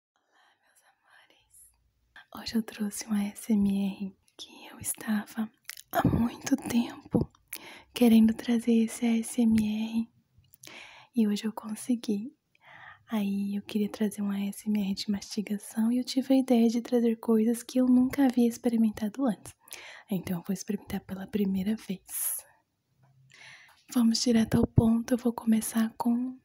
Olá, meus amores! Hoje eu trouxe um ASMR que eu estava há muito tempo querendo trazer esse ASMR e hoje eu consegui. Aí eu queria trazer um ASMR de mastigação e eu tive a ideia de trazer coisas que eu nunca havia experimentado antes. Então eu vou experimentar pela primeira vez. Vamos direto ao ponto, eu vou começar com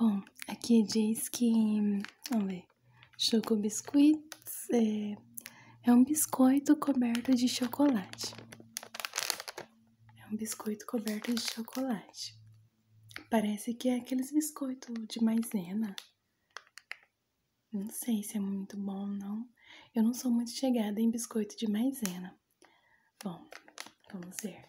Bom, aqui diz que. Hum, vamos ver. Choco biscuit é, é um biscoito coberto de chocolate. É um biscoito coberto de chocolate. Parece que é aqueles biscoitos de maisena. Não sei se é muito bom não. Eu não sou muito chegada em biscoito de maisena. Bom, vamos ver.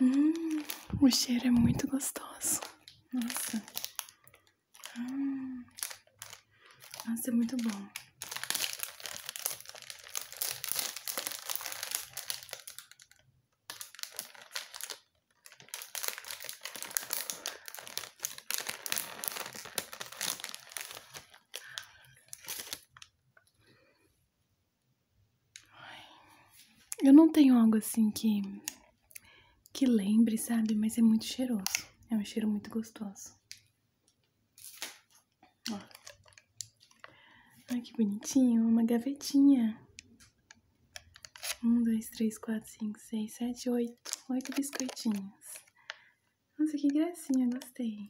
Hum, o cheiro é muito gostoso. Nossa. Hum. é muito bom. Eu não tenho algo assim que que lembre, sabe? Mas é muito cheiroso. É um cheiro muito gostoso. Ó. Ai, que bonitinho. Uma gavetinha. Um, dois, três, quatro, cinco, seis, sete, oito. Oito biscoitinhos. Nossa, que gracinha. Gostei.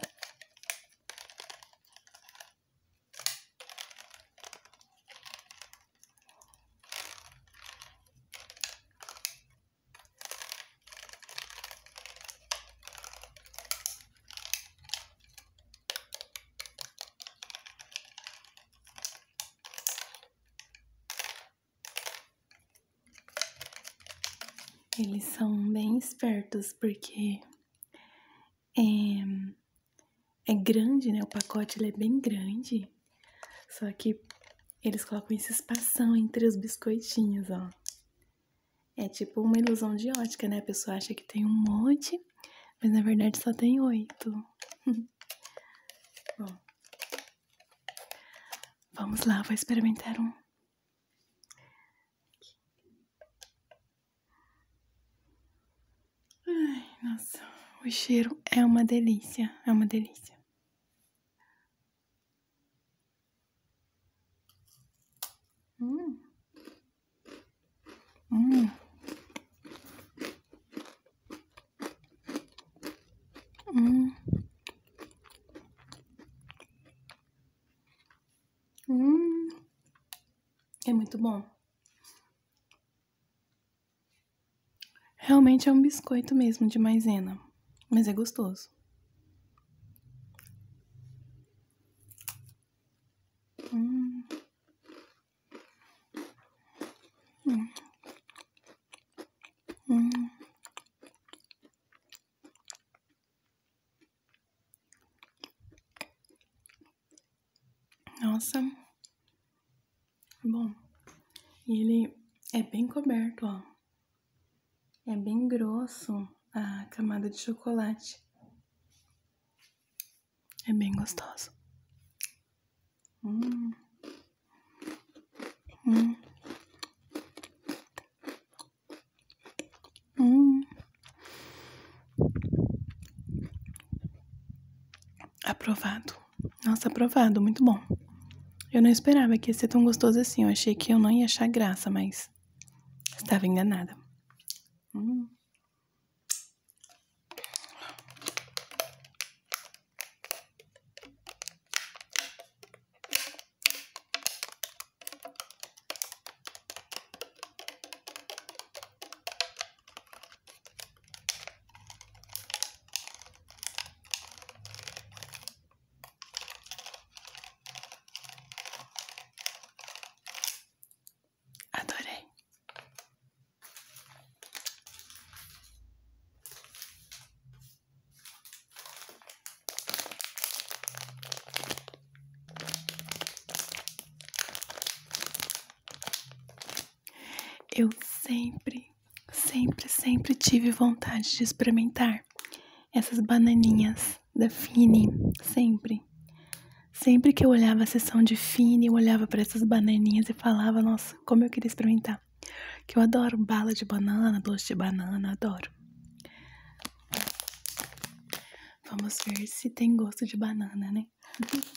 Eles são bem espertos porque é, é, grande, né? O pacote ele é bem grande. Só que eles colocam esse espação entre os biscoitinhos, ó. É tipo uma ilusão de ótica, né? A pessoa acha que tem um monte, mas na verdade só tem oito. Bom, vamos lá, vou experimentar um. Ai, nossa, o cheiro é uma delícia, é uma delícia. Hum. Hum. Hum. Hum. É muito bom. Realmente é um biscoito mesmo de maisena, mas é gostoso. Nossa. Bom. ele é bem coberto, ó. É bem grosso a camada de chocolate. É bem gostoso. Hum. Hum. Hum. Aprovado. Nossa, aprovado, muito bom. Eu não esperava que ia ser tão gostoso assim. Eu achei que eu não ia achar graça, mas estava enganada. Hum. Adorei. Eu sempre, sempre, sempre tive vontade de experimentar essas bananinhas da Fini, sempre. Sempre que eu olhava a sessão de Fini, eu olhava para essas bananinhas e falava, nossa, como eu queria experimentar. Que eu adoro bala de banana, doce de banana, adoro. Vamos ver se tem gosto de banana, né?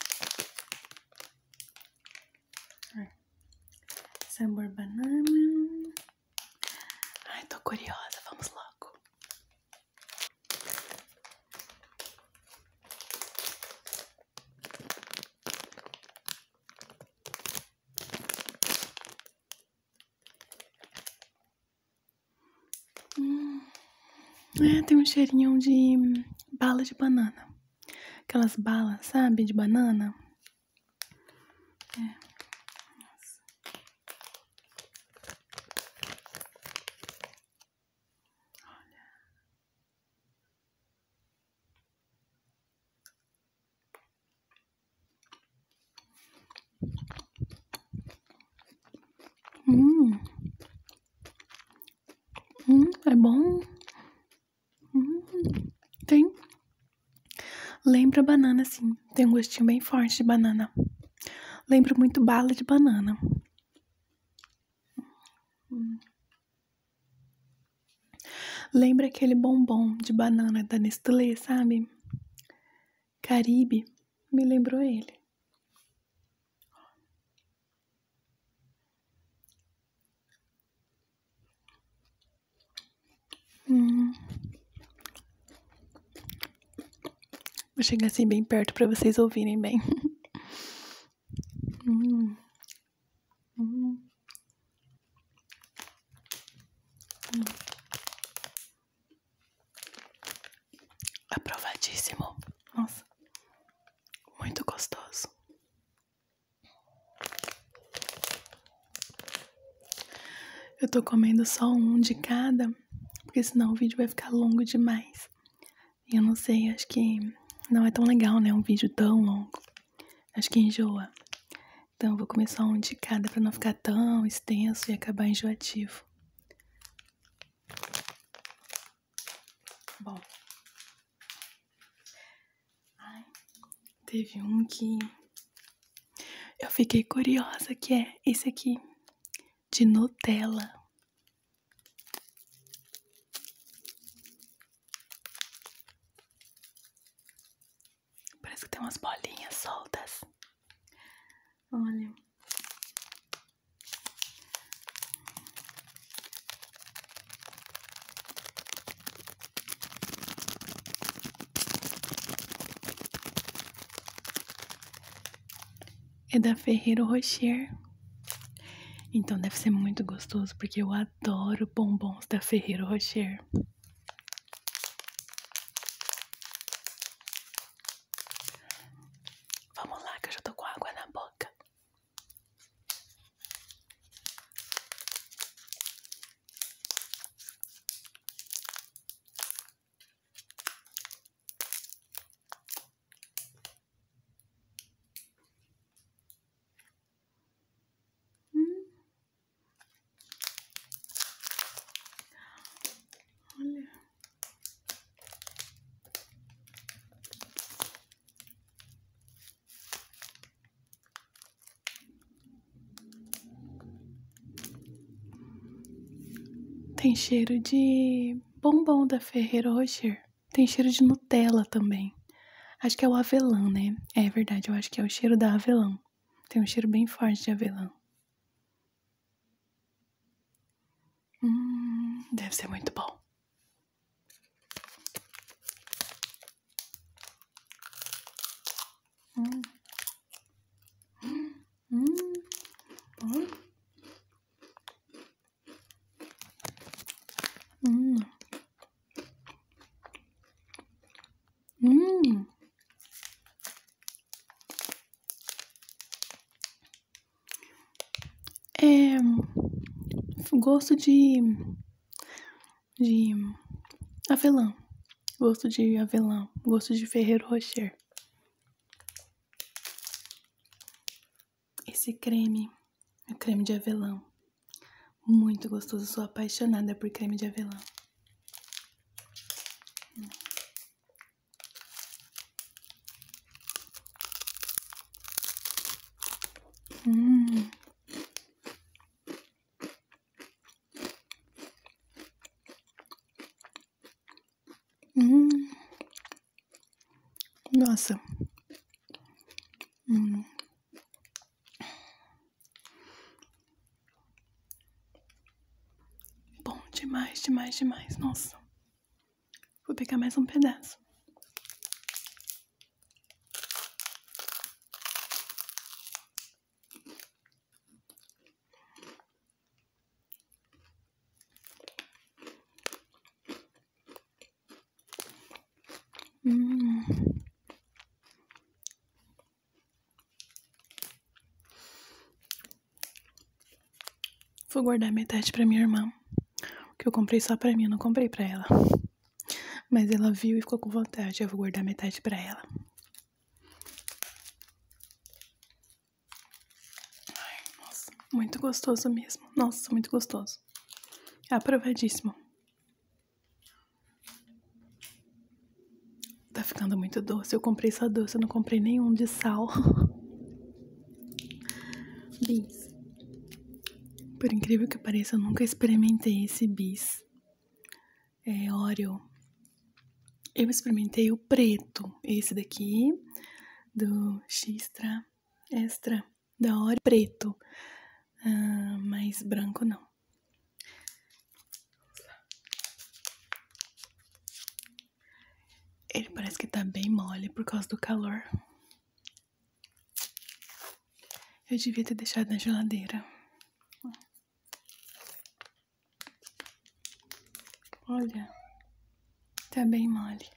Sabor banana. Ai, tô curiosa. Vamos logo é, tem um cheirinho de bala de banana. Aquelas balas, sabe, de banana. É. Hum. Hum, é bom. Hum, tem. Lembra banana, sim. Tem um gostinho bem forte de banana. Lembro muito bala de banana. Lembra aquele bombom de banana da Nestlé, sabe? Caribe. Me lembrou ele. Vou chegar assim bem perto para vocês ouvirem bem. Aprovadíssimo. Nossa, muito gostoso. Eu tô comendo só um de cada, porque senão o vídeo vai ficar longo demais. E eu não sei, acho que não é tão legal, né? Um vídeo tão longo. Acho que enjoa. Então, vou começar um de cada para não ficar tão extenso e acabar enjoativo. Bom, ai, teve um que eu fiquei curiosa que é esse aqui de Nutella. Parece que tem umas bolinhas soltas. Olha. É da Ferreiro Rocher. Então deve ser muito gostoso, porque eu adoro bombons da Ferreiro Rocher. Vamos lá, que eu já tô com água na boca. Hum. Olha. Tem cheiro de bombom da Ferreiro Rocher. Tem cheiro de Nutella também. Acho que é o avelã, né? É verdade, eu acho que é o cheiro da avelã. Tem um cheiro bem forte de avelã. Hum, deve ser muito bom. Hum. Hum. É, gosto de. de. avelã. Gosto de avelã. Gosto de Ferreiro Rocher. Esse creme é creme de avelã. Muito gostoso. Sou apaixonada por creme de avelã. 嗯，嗯，那是，嗯。Bom demais, demais, demais. Nossa. Vou pegar mais um pedaço. Hum. Vou guardar metade para minha irmã, que eu comprei só para mim, eu não comprei para ela. Mas ela viu e ficou com vontade, eu vou guardar metade para ela. Ai, nossa, muito gostoso mesmo. Nossa, muito gostoso. Aprovadíssimo. Tá ficando muito doce. Eu comprei só doce, eu não comprei nenhum de sal. bis. Por incrível que pareça, eu nunca experimentei esse bis. É Oreo. Eu experimentei o preto, esse daqui, do Xtra Extra, da Oreo preto. Ah, mas branco não. Ele parece que tá bem mole por causa do calor. Eu devia ter deixado na geladeira. Olha, tá bem mole.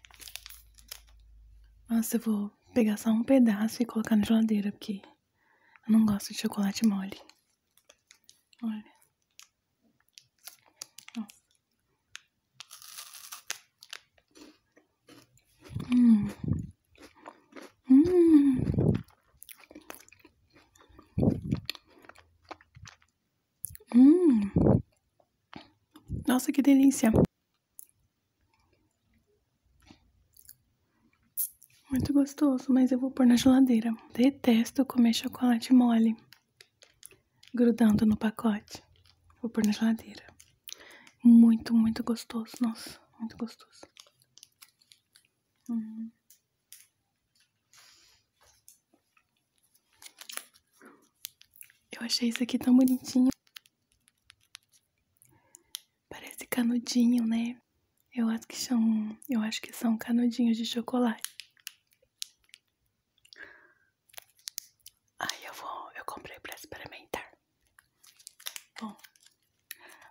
Nossa, eu vou pegar só um pedaço e colocar na geladeira, porque eu não gosto de chocolate mole. Olha. Ó. Hum. Hum. Hum. Nossa, que delícia. Muito gostoso, mas eu vou pôr na geladeira. Detesto comer chocolate mole grudando no pacote. Vou pôr na geladeira. Muito, muito gostoso. Nossa, muito gostoso. Uhum. Eu achei isso aqui tão bonitinho. Parece canudinho, né? Eu acho que são, eu acho que são canudinhos de chocolate. Aí eu vou, eu comprei para experimentar. Bom,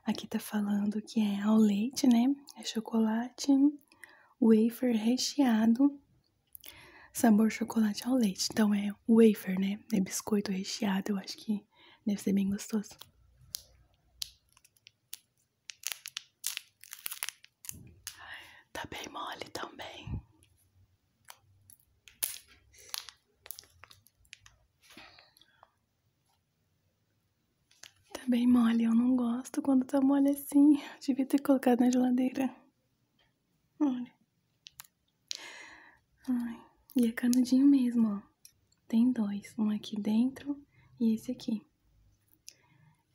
aqui tá falando que é ao leite, né? É chocolate, wafer recheado, sabor chocolate ao leite. Então é wafer, né? É biscoito recheado, eu acho que deve ser bem gostoso. Tá bem mole também. Tá bem mole, eu não gosto quando tá mole assim. devia ter colocado na geladeira. Olha. e é canudinho mesmo, ó. Tem dois, um aqui dentro e esse aqui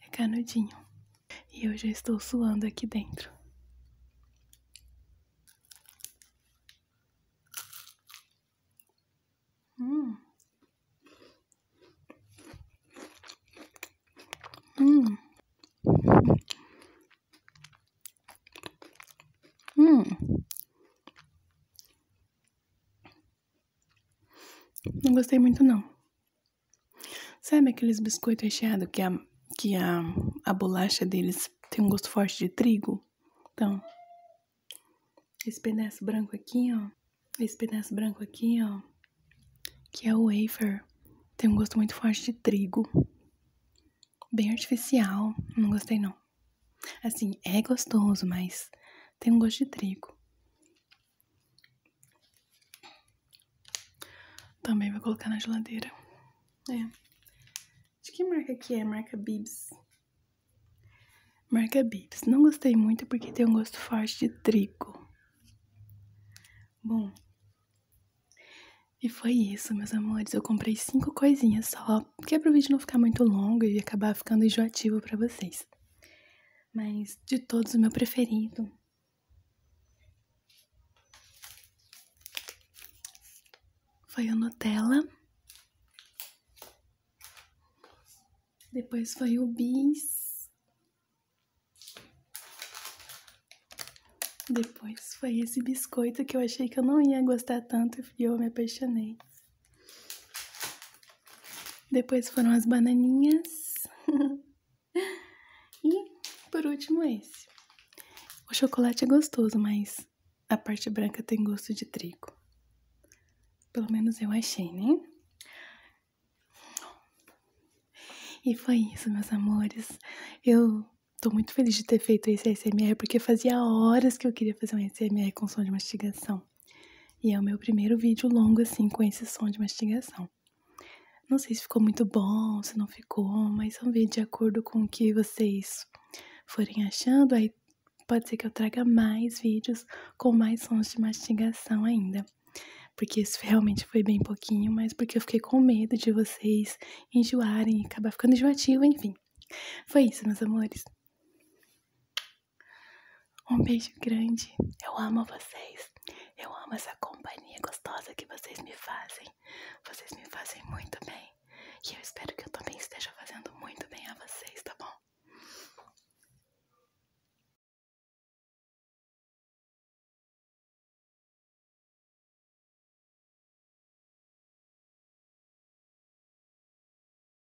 é canudinho. E eu já estou suando aqui dentro. Hum. Hum. Hum. Não gostei muito, não. Sabe aqueles biscoitos recheados que, a, que a, a bolacha deles tem um gosto forte de trigo? Então, esse pedaço branco aqui, ó. Esse pedaço branco aqui, ó. Que é o wafer. Tem um gosto muito forte de trigo. Bem artificial. Não gostei, não. Assim, é gostoso, mas tem um gosto de trigo. Também vou colocar na geladeira. É. De que marca que é? Marca Bibs. Marca Bibs. Não gostei muito porque tem um gosto forte de trigo. Bom. E foi isso, meus amores. Eu comprei cinco coisinhas só, porque é pro vídeo não ficar muito longo e acabar ficando enjoativo para vocês. Mas de todos, o meu preferido foi o Nutella. Depois foi o Bis. Depois foi esse biscoito que eu achei que eu não ia gostar tanto e eu me apaixonei. Depois foram as bananinhas. e por último esse. O chocolate é gostoso, mas a parte branca tem gosto de trigo. Pelo menos eu achei, né? E foi isso, meus amores. Eu tô muito feliz de ter feito esse S.M.R. porque fazia horas que eu queria fazer um S.M.R. com som de mastigação. E é o meu primeiro vídeo longo assim com esse som de mastigação. Não sei se ficou muito bom, se não ficou, mas vamos é ver de acordo com o que vocês forem achando. Aí pode ser que eu traga mais vídeos com mais sons de mastigação ainda. Porque isso realmente foi bem pouquinho, mas porque eu fiquei com medo de vocês enjoarem, e acabar ficando enjoativo, enfim. Foi isso, meus amores. Um beijo grande. Eu amo vocês. Eu amo essa companhia gostosa que vocês me fazem. Vocês me fazem muito bem. E eu espero que eu também esteja fazendo muito bem a vocês, tá bom?